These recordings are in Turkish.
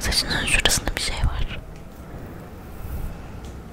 Saçının şurasında bir şey var.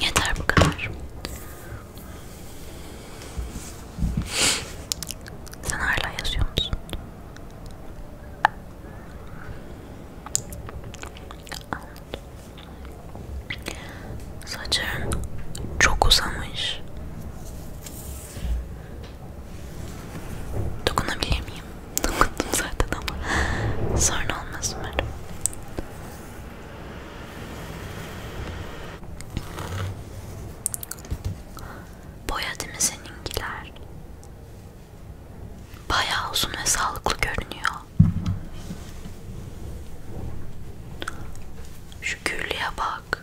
Yeter bu kadar. Sen hala yazıyor musun? Saçın çok uzamış. Dokunabilir miyim? Dokundum zaten ama sorun olmaz umarım. Boya değil mi seninkiler? Bayağı uzun ve sağlıklı görünüyor. Şu güllüye bak.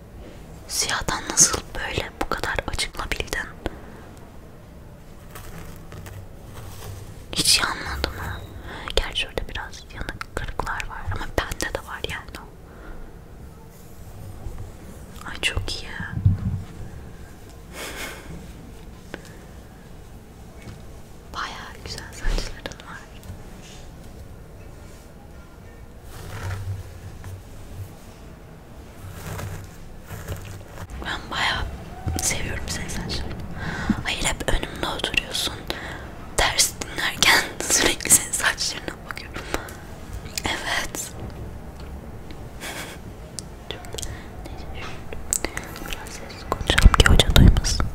Siyahtan nasıl böyle bu kadar açıklabildin? Hiç yanmadı mı? Gerçi orada biraz yanık kırıklar var ama bende de var yani. Ay çok iyi. Bayağı güzel saçların var. Ben bayağı seviyorum seni sen söyle. Hayır hep önümde oturuyorsun. Ders dinlerken sürekli senin saçlarına bakıyorum. Evet. Biraz sessiz konuşalım ki hoca duymasın.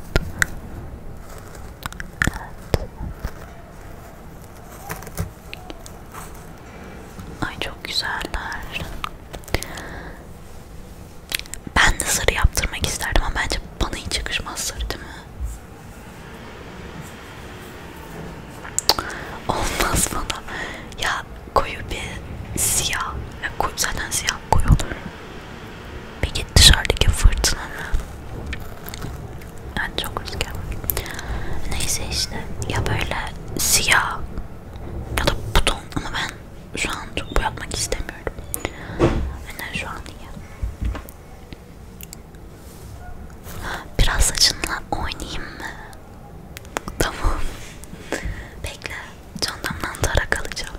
Evet. Ay çok güzeller. Ben de sarı yaptırmak isterdim ama bence bana hiç yakışmaz sarı değil mi? Olmaz bana. Ya koyu bir siyah. Zaten siyah koyu olur. Peki dışarıdaki fırtınanın yani çok rüzgar var. Neyse işte ya böyle siyah ya da buton ama ben şu an çok bu yapmak istemiyorum. Yani şu an iyi. Biraz saçınla oynayayım mı? Tamam. Bekle. Çantamdan tarak alacağım.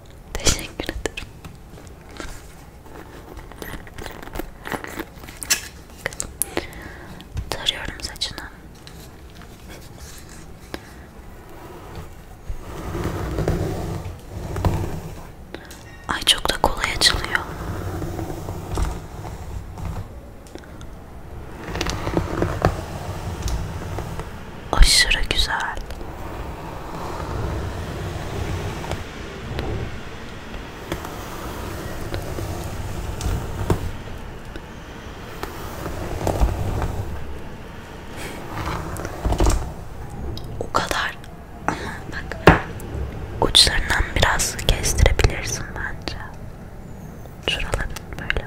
Teşekkür ederim. Tarıyorum saçını. Ay çok da kolay açılıyor aşırı güzel. O kadar ama bak uçlarından biraz kestirebilirsin bence. Şuraları böyle.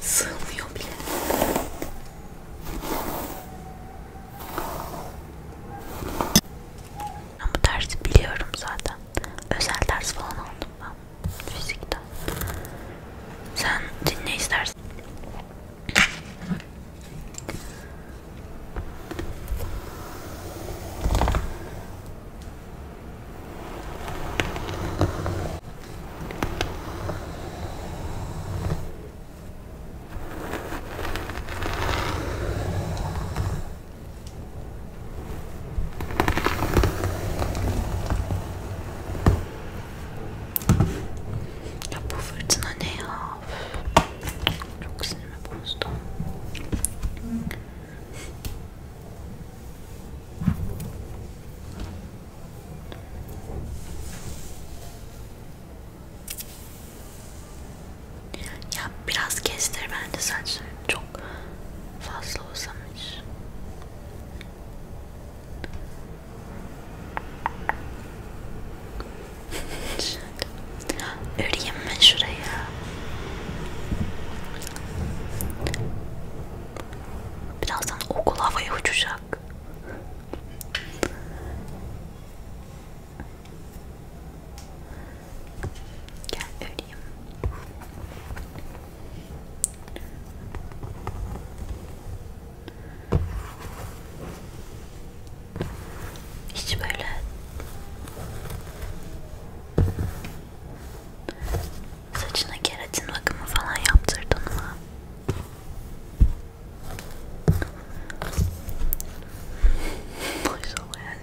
Sığmıyor bile. Ben bu dersi biliyorum zaten. Özel ders falan aldım ben. Fizikten. Sen dinle istersen. Ya bu fırtına ne ya? Çok sinirimi bozdu. Ya biraz kestir bence saçlarını. Çok çok fazla uzamış. Öreyim mi şuraya? Birazdan okul havaya uçacak. Gel öleyim. Hiç böyle saçına keratin bakımı falan yaptırdın mı? Maşallah yani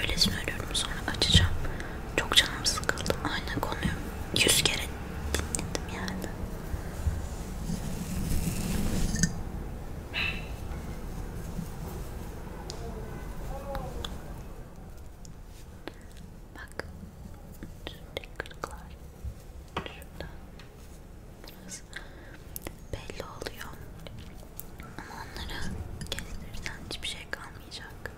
Öyle söylüyorum sonra açacağım. Çok canım sıkıldı. Aynı konuyu yüz kere dinledim yani. Bak. Şurada kırıklar. Şurada. Biraz belli oluyor. Ama onları kestirsen hiçbir şey kalmayacak.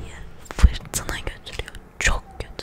Diye fırtına götürüyor. Çok kötü.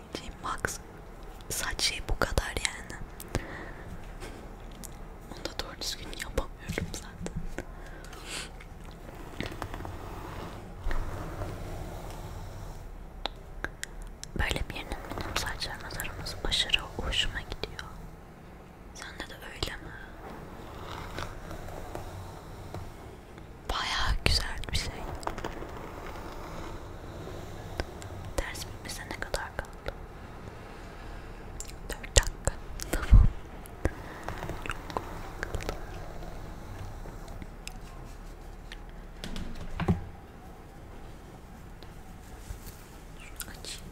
kullanabileceğim max saç şey bu kadar yani. Onu da doğru düzgün yapamıyorum zaten. Böyle birinin benim saçlarıma taraması aşırı hoşuma gidiyor. Sende de öyle mi? Bayağı güzel bir şey. Ders bitmesine ne kadar kaldı? 4 dakika. Tamam. Şunu açayım.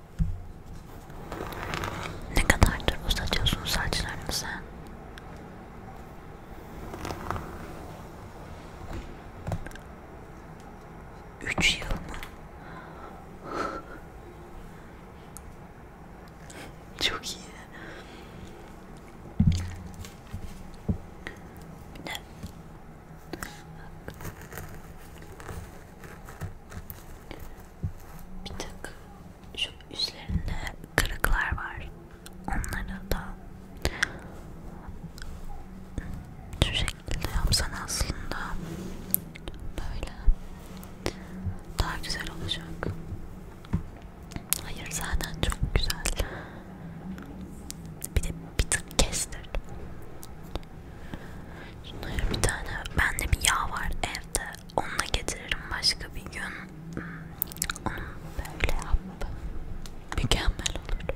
Ne kadardır uzatıyorsun saçlarını sen? Üç yıl mı? Çok iyi. Bir de bir tık şu üstlerinde kırıklar var. Onları da şu şekilde yapsan aslında böyle daha güzel olacak. Hayır zaten çok güzel. Bir de bir tık kestir. Şunlara bir tane bende bir yağ var evde. Onunla getiririm başka bir gün. Hmm, onu böyle yap. Mükemmel olur.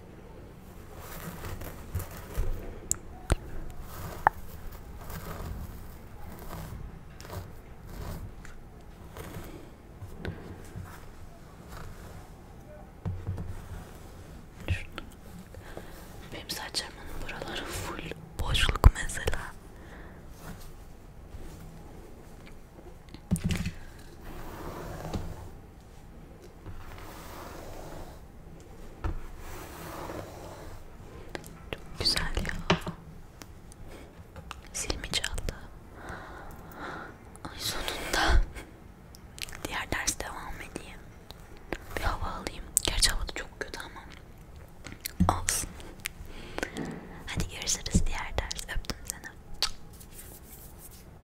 Benim saçlarımın buraları full boşluk mesela. Çok güzel ya. Silmi çaldı. Ay sonunda. Diğer ders devam edeyim. Bir hava alayım. Gerçi hava da çok kötü ama. Olsun. Hadi görüşürüz diğer ders. Öptüm seni.